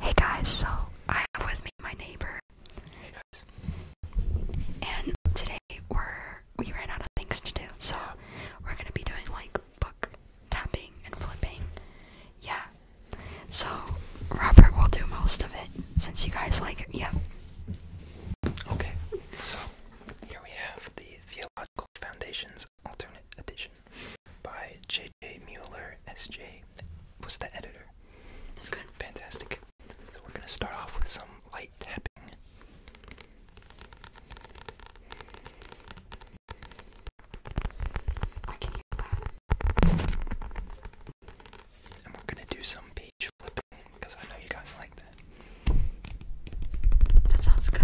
Hey guys, so I have with me my neighbor. And today we're we ran out of things to do, so we're gonna be doing like book tapping and flipping. Yeah. So Robert will do most of it since you guys like it. Yeah. Okay. So here we have the theological foundations alternate edition by J.J. Mueller, S.J. was the editor. That's good. Fantastic. So we're going to start off with some light tapping. And we're going to do some page flipping because I know you guys like that. That sounds good.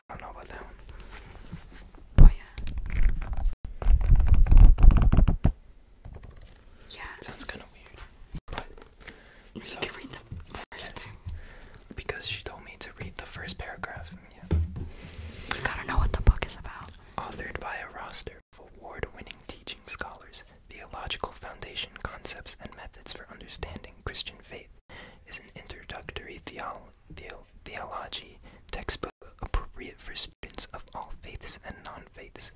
I don't know about that one. yeah. Yeah. Sounds kind of weird. You can read the first Because she told me to read the first paragraph. You gotta know what the book is about. Authored by a roster of award winning teaching scholars, theological foundation concepts and methods for understanding Christian faith is an introductory theology textbook appropriate for students of all faiths and non-faiths.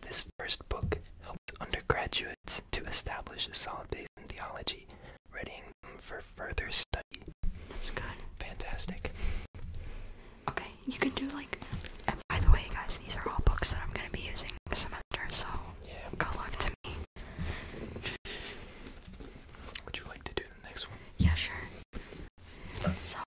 This first book helps undergraduates to establish a solid base in theology, readying them for further study. That's good. Fantastic. Okay, you can do like, and by the way, guys, these are all books that I'm going to be using some of so yeah. good luck to me. Would you like to do the next one? Yeah, sure. So,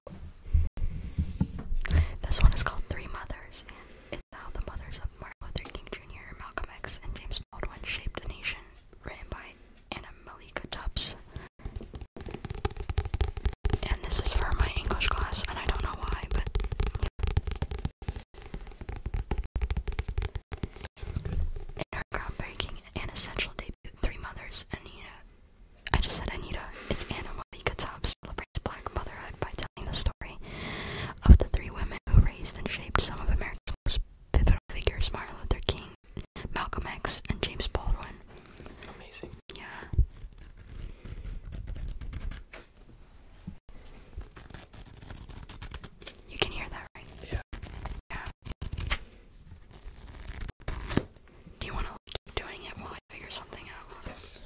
this one is called Three Mothers, and it's how the mothers of Martin Luther King Jr., Malcolm X, and James Baldwin shaped a nation, written by Anna Malika Tubbs. And this is for my English class, and I don't know why, but in her groundbreaking and essential debut, Three Mothers, Anita, I just said Anita, it's Anna Malika Top celebrates black motherhood by telling the story of the three women who raised and shaped some of America's most pivotal figures, Martin Luther King, Malcolm X, and James Baldwin. Amazing. Yeah. You can hear that, right? Yeah. Yeah. Do you want to keep doing it while I figure something out? Yes.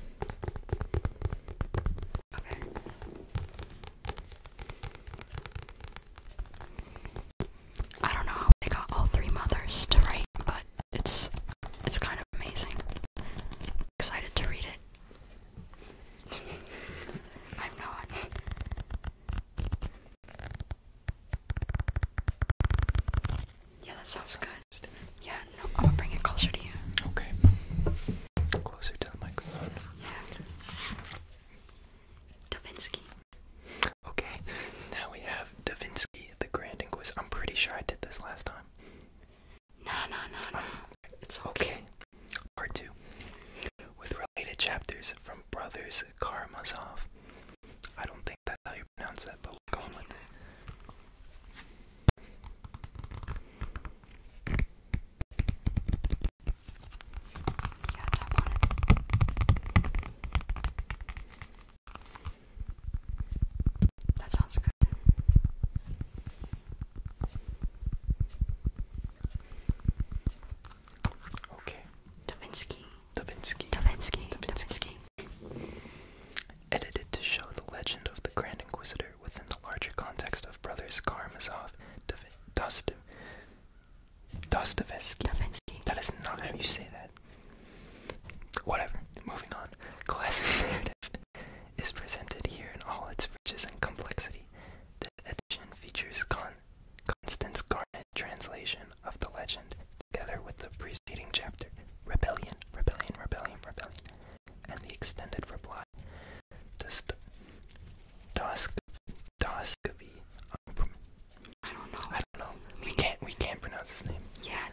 Okay. I don't know how they got all three mothers to write, but it's it's kind of amazing. Excited to read it. I'm not. Yeah, that sounds good. Yeah, no, I'm gonna bring it closer to you. Okay. Closer to the microphone. Yeah. Davinsky. Okay, now we have Davinsky, the Grand Inquisitor. I'm pretty sure I did this last time. No, no, no, no. Um, it's okay. Part two with related chapters from brothers Karamazov. I don't think that's how you pronounce that, but we're going with it. That sounds good. Okay. Dovinsky. Dovinsky. Dovinsky. Davinsky. Edited to show the legend of the Grand Inquisitor within the larger context of brothers Karamazov, Dostoevsky. Davinsky. That is not how you say that. Whatever. Moving on. Classic narrative is presented here in all its riches and complexity. This edition features Constance Garnet translation of the legend, together with the preceding chapter, Rebellion, Rebellion, Rebellion, Rebellion, and the extended reply. Doscovy. Um, I don't know. I don't know. We can't. We can't pronounce his name. Yeah.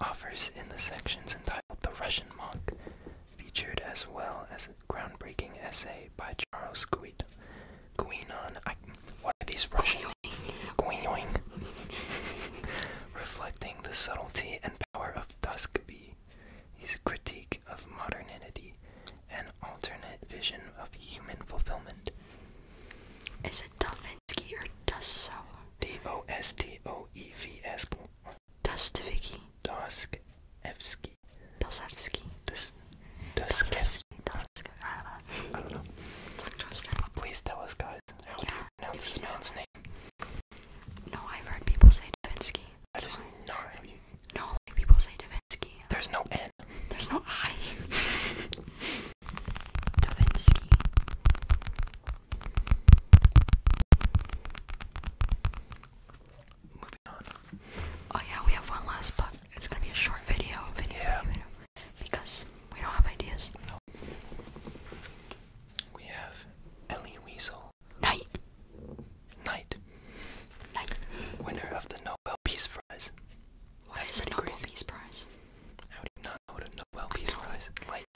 Offers in the sections entitled "The Russian Monk," featured as well as a groundbreaking essay by Charles Guid what are these Russian? Guinon. Reflecting the subtlety and power of Tuskegee, his critique of modernity and alternate vision of human fulfillment. Is it Dostoevsky or Dostoevsky? D O S T O E V S that's Dostoevsky. Dostoevsky. Dostoevsky. Dostoevsky. I don't know. It's interesting. Please tell us, guys. How yeah, do you pronounce this man's name? No, I've heard people say Devinsky. That is not No, people say Davinsky. There's no N. There's no I. Davinsky. Oh yeah, we have one last book. It's gonna be a short video, video, video, because we don't have ideas. We have Ellie Weasel. Knight. Knight. Knight. Winner of the Nobel Peace Prize. What That's Nobel Peace Prize? How do you not know what Nobel Peace Prize? Like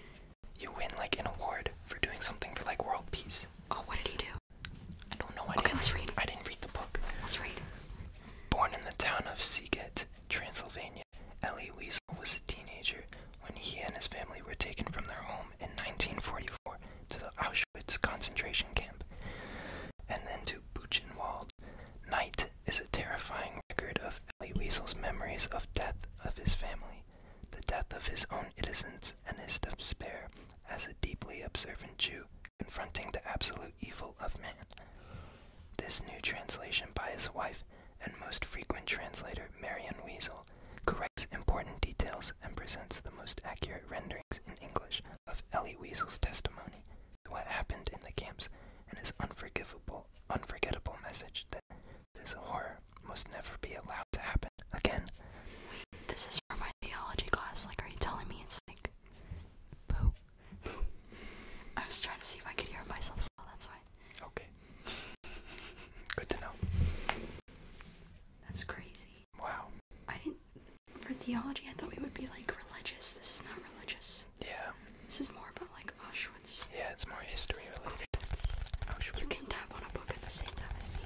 you win like an award for doing something for like world peace. Oh, what did he do? I don't know. I okay, let's read. I didn't read the book. Let's read. Born in the town of Seagate, Transylvania, Elie Weasel was a teenager when he and his family were taken from their home in 1944 to the Auschwitz concentration camp, and then to Buchenwald. Night is a terrifying record of Elie Weasel's memories of death of his family the death of his own innocence, and his despair as a deeply observant Jew confronting the absolute evil of man. This new translation by his wife and most frequent translator, Marion Weasel, corrects important details and presents the most accurate renderings in English of Ellie Weasel's testimony to what happened in the camps and his unforgivable, unforgettable message that this horror must never be allowed to happen again. This is for my theology class. Like, are you telling me it's like boo? Boo. I was trying to see if I could hear myself still. That's why. Okay. Good to know. That's crazy. Wow. I didn't. For theology, I thought we would be like religious. This is not religious. Yeah. This is more about like Auschwitz. Yeah, it's more history related. Auschwitz. You can tap on a book at the same time as me.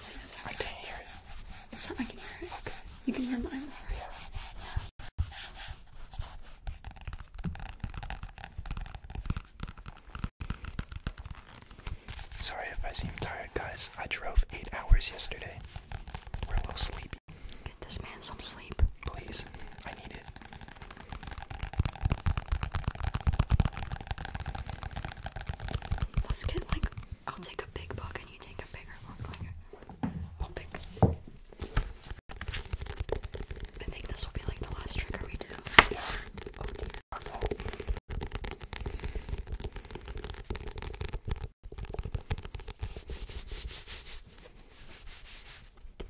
See, that's I can hear it. That's how I can hear it. You can hear mine, right? Sorry if I seem tired, guys. I drove eight hours yesterday. We're a little sleepy. Get this man some sleep. Please. I need it. Let's get, like, I'll take a big bite can you take a bigger one? Like, I'll pick. I think this will be like the last trigger we do.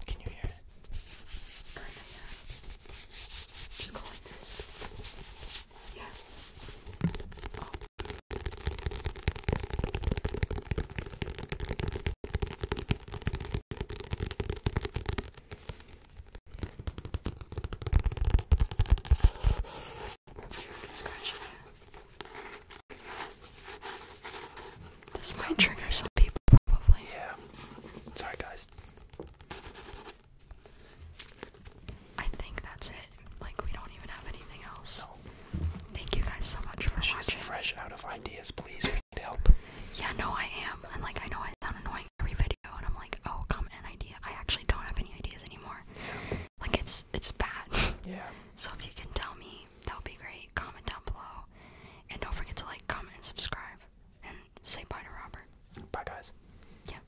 Can you hear it? Kinda, yeah. Just go like this. Yeah. This might trigger some people, probably. Yeah. Sorry, guys. I think that's it. Like we don't even have anything else. Thank you guys so much for She's watching. fresh out of ideas, please. We need help. Yeah, no, I am. And like I know I sound annoying every video and I'm like, oh comment an idea. I actually don't have any ideas anymore. Like it's it's bad. Yeah. So if you can tell me, that would be great. Comment down below. And don't forget to like, comment, and subscribe. And say bye to Robert. Bye guys. Yeah.